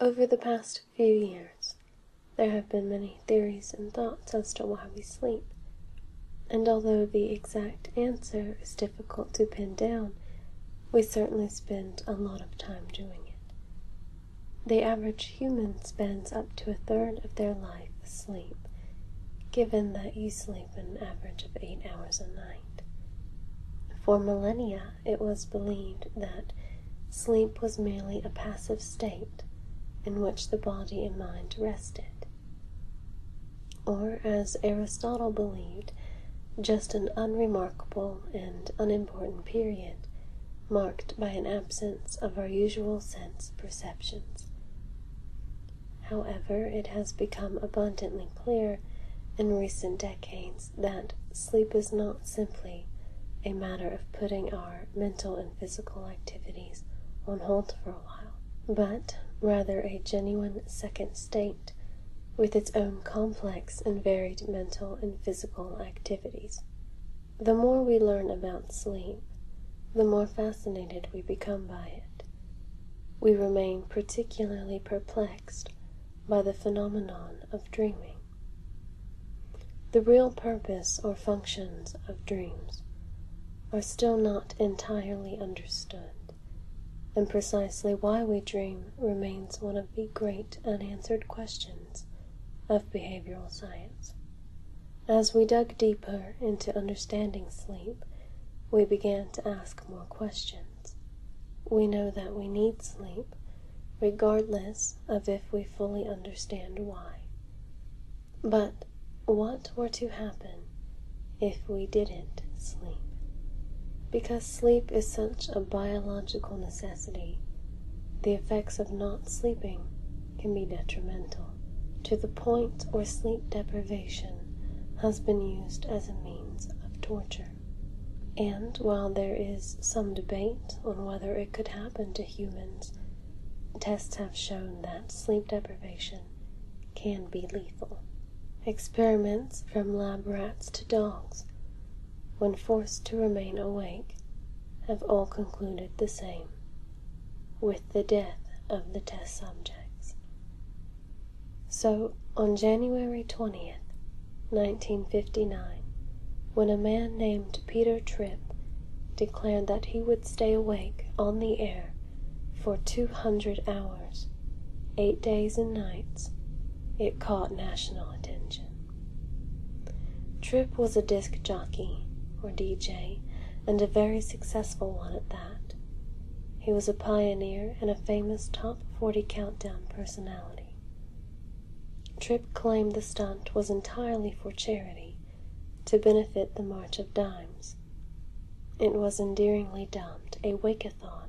Over the past few years, there have been many theories and thoughts as to why we sleep, and although the exact answer is difficult to pin down, we certainly spend a lot of time doing it. The average human spends up to a third of their life asleep, given that you sleep an average of eight hours a night. For millennia, it was believed that sleep was merely a passive state in which the body and mind rested, or, as Aristotle believed, just an unremarkable and unimportant period marked by an absence of our usual sense perceptions. However, it has become abundantly clear in recent decades that sleep is not simply a matter of putting our mental and physical activities on hold for a while, but rather a genuine second state with its own complex and varied mental and physical activities. The more we learn about sleep, the more fascinated we become by it. We remain particularly perplexed by the phenomenon of dreaming. The real purpose or functions of dreams are still not entirely understood, and precisely why we dream remains one of the great unanswered questions of behavioral science. As we dug deeper into understanding sleep, we began to ask more questions. We know that we need sleep, regardless of if we fully understand why. But what were to happen if we didn't sleep? Because sleep is such a biological necessity, the effects of not sleeping can be detrimental to the point where sleep deprivation has been used as a means of torture. And while there is some debate on whether it could happen to humans, tests have shown that sleep deprivation can be lethal. Experiments from lab rats to dogs, when forced to remain awake, have all concluded the same, with the death of the test subjects. So, on January 20th, 1959, when a man named Peter Tripp declared that he would stay awake on the air for 200 hours, eight days and nights, it caught national attention. Tripp was a disc jockey, or DJ, and a very successful one at that. He was a pioneer and a famous talk 40 Countdown personality. Tripp claimed the stunt was entirely for charity to benefit the March of Dimes. It was endearingly dubbed a Wakeathon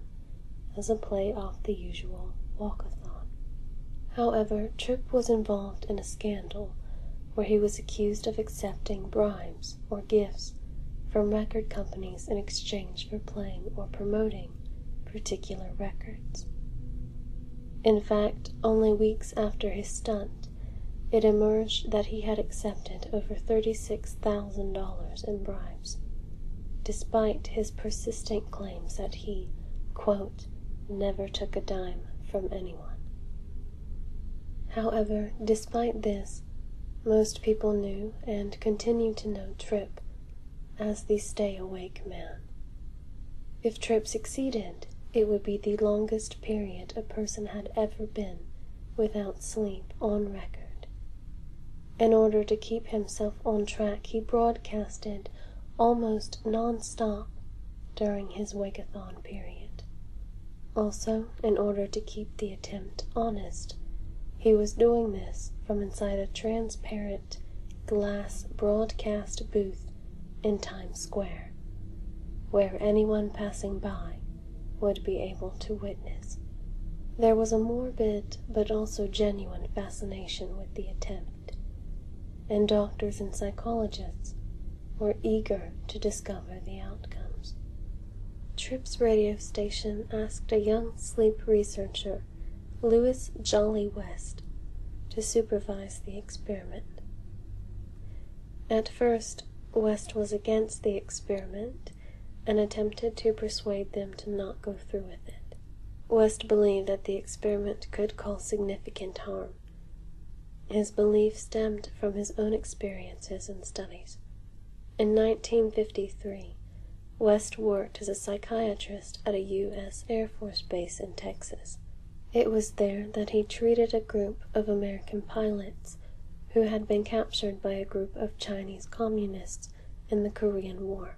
as a play off the usual Walkathon. However, Tripp was involved in a scandal where he was accused of accepting bribes or gifts from record companies in exchange for playing or promoting particular records. In fact, only weeks after his stunt, it emerged that he had accepted over $36,000 in bribes, despite his persistent claims that he, quote, never took a dime from anyone. However, despite this, most people knew and continue to know Trip as the stay awake man. If Trip succeeded, it would be the longest period a person had ever been without sleep on record. In order to keep himself on track, he broadcasted almost non-stop during his wakeathon period. Also, in order to keep the attempt honest, he was doing this from inside a transparent glass broadcast booth in Times Square, where anyone passing by would be able to witness. There was a morbid but also genuine fascination with the attempt, and doctors and psychologists were eager to discover the outcomes. Trips radio station asked a young sleep researcher, Lewis Jolly West, to supervise the experiment. At first, West was against the experiment and attempted to persuade them to not go through with it. West believed that the experiment could cause significant harm, his belief stemmed from his own experiences and studies. In 1953, West worked as a psychiatrist at a U.S. Air Force base in Texas. It was there that he treated a group of American pilots who had been captured by a group of Chinese communists in the Korean War.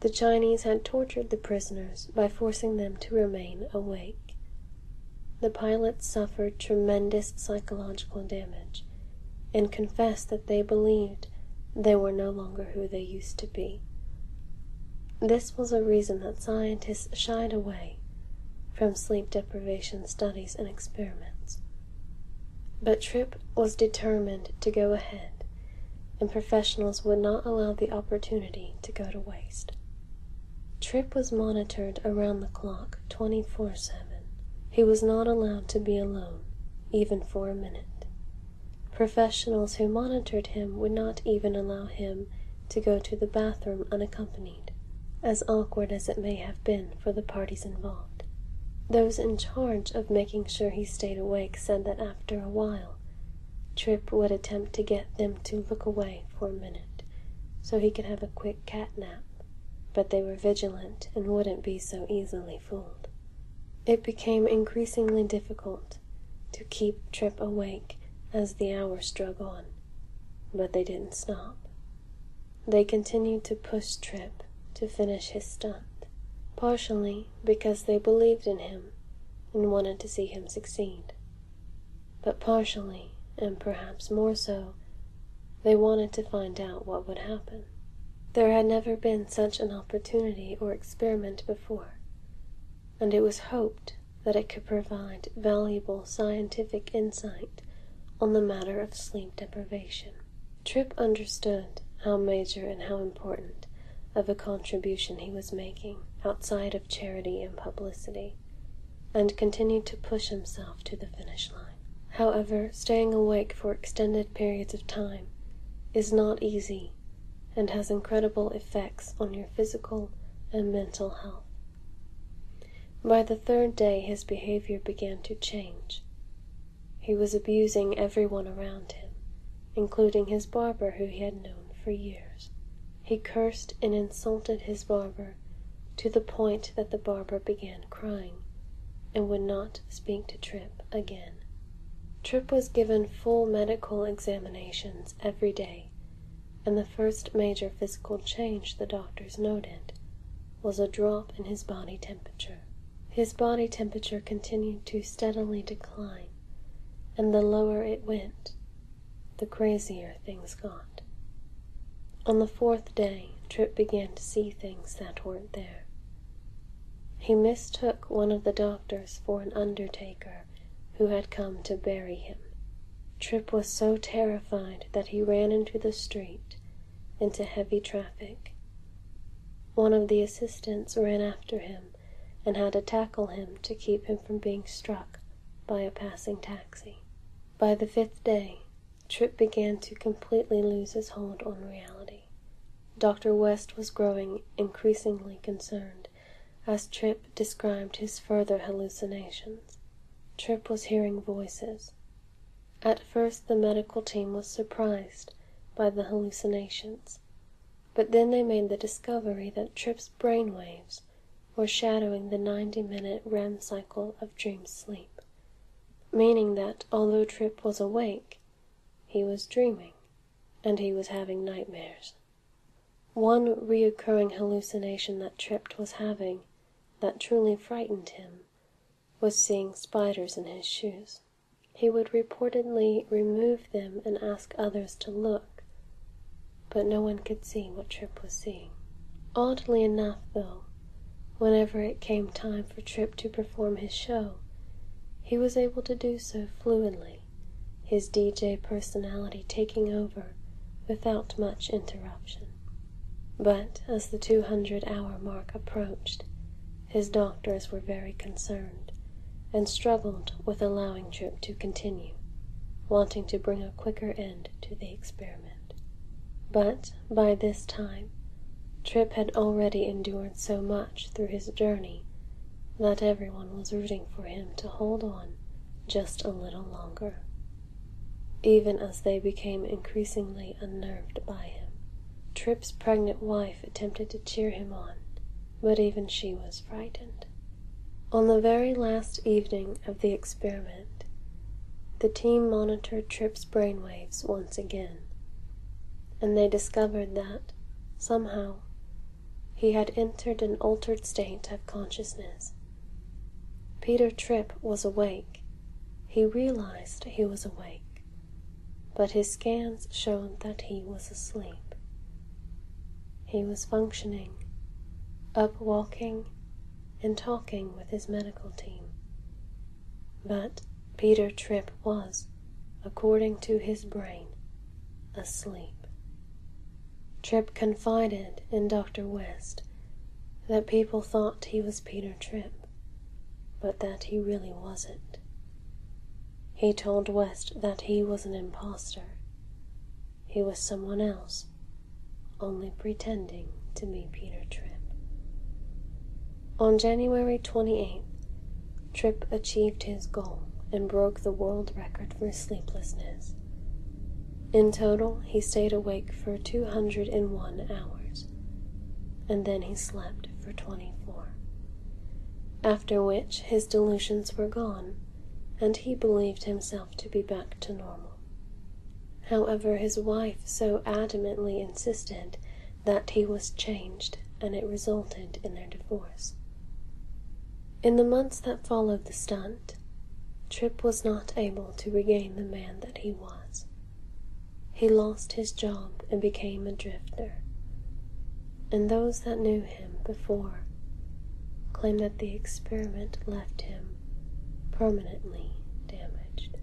The Chinese had tortured the prisoners by forcing them to remain awake. The pilots suffered tremendous psychological damage and confessed that they believed they were no longer who they used to be. This was a reason that scientists shied away from sleep deprivation studies and experiments. But Tripp was determined to go ahead, and professionals would not allow the opportunity to go to waste. Trip was monitored around the clock 24 7. He was not allowed to be alone, even for a minute. Professionals who monitored him would not even allow him to go to the bathroom unaccompanied, as awkward as it may have been for the parties involved. Those in charge of making sure he stayed awake said that after a while, Trip would attempt to get them to look away for a minute so he could have a quick cat nap, but they were vigilant and wouldn't be so easily fooled. It became increasingly difficult to keep Trip awake as the hours drug on, but they didn't stop. They continued to push Trip to finish his stunt, partially because they believed in him and wanted to see him succeed. But partially, and perhaps more so, they wanted to find out what would happen. There had never been such an opportunity or experiment before, and it was hoped that it could provide valuable scientific insight on the matter of sleep deprivation. Tripp understood how major and how important of a contribution he was making outside of charity and publicity and continued to push himself to the finish line. However, staying awake for extended periods of time is not easy and has incredible effects on your physical and mental health. By the third day, his behavior began to change. He was abusing everyone around him, including his barber, who he had known for years. He cursed and insulted his barber, to the point that the barber began crying, and would not speak to Tripp again. Tripp was given full medical examinations every day, and the first major physical change the doctors noted was a drop in his body temperature. His body temperature continued to steadily decline, and the lower it went, the crazier things got. On the fourth day, Trip began to see things that weren't there. He mistook one of the doctors for an undertaker who had come to bury him. Trip was so terrified that he ran into the street, into heavy traffic. One of the assistants ran after him and how to tackle him to keep him from being struck by a passing taxi. By the fifth day, Tripp began to completely lose his hold on reality. Dr. West was growing increasingly concerned as Tripp described his further hallucinations. Tripp was hearing voices. At first, the medical team was surprised by the hallucinations. But then they made the discovery that Tripp's brain waves were shadowing the 90 minute REM cycle of dream sleep, meaning that although Tripp was awake, he was dreaming and he was having nightmares. One recurring hallucination that Tripp was having that truly frightened him was seeing spiders in his shoes he would reportedly remove them and ask others to look, but no one could see what Trip was seeing. Oddly enough, though, whenever it came time for Trip to perform his show, he was able to do so fluently, his DJ personality taking over without much interruption. But as the 200 hour mark approached, his doctors were very concerned and struggled with allowing Trip to continue, wanting to bring a quicker end to the experiment. But by this time, Trip had already endured so much through his journey that everyone was rooting for him to hold on just a little longer. Even as they became increasingly unnerved by him, Trip's pregnant wife attempted to cheer him on but even she was frightened. On the very last evening of the experiment, the team monitored Tripp's brainwaves once again, and they discovered that, somehow, he had entered an altered state of consciousness. Peter Tripp was awake. He realized he was awake, but his scans showed that he was asleep. He was functioning, up walking, and talking with his medical team. But Peter Tripp was, according to his brain, asleep. Tripp confided in Dr. West that people thought he was Peter Tripp, but that he really wasn't. He told West that he was an impostor. He was someone else, only pretending to be Peter Tripp. On January 28th, Tripp achieved his goal and broke the world record for sleeplessness. In total, he stayed awake for 201 hours, and then he slept for twenty four. After which his delusions were gone, and he believed himself to be back to normal. However, his wife so adamantly insisted that he was changed, and it resulted in their divorce. In the months that followed the stunt, Tripp was not able to regain the man that he was. He lost his job and became a drifter, and those that knew him before claim that the experiment left him permanently damaged.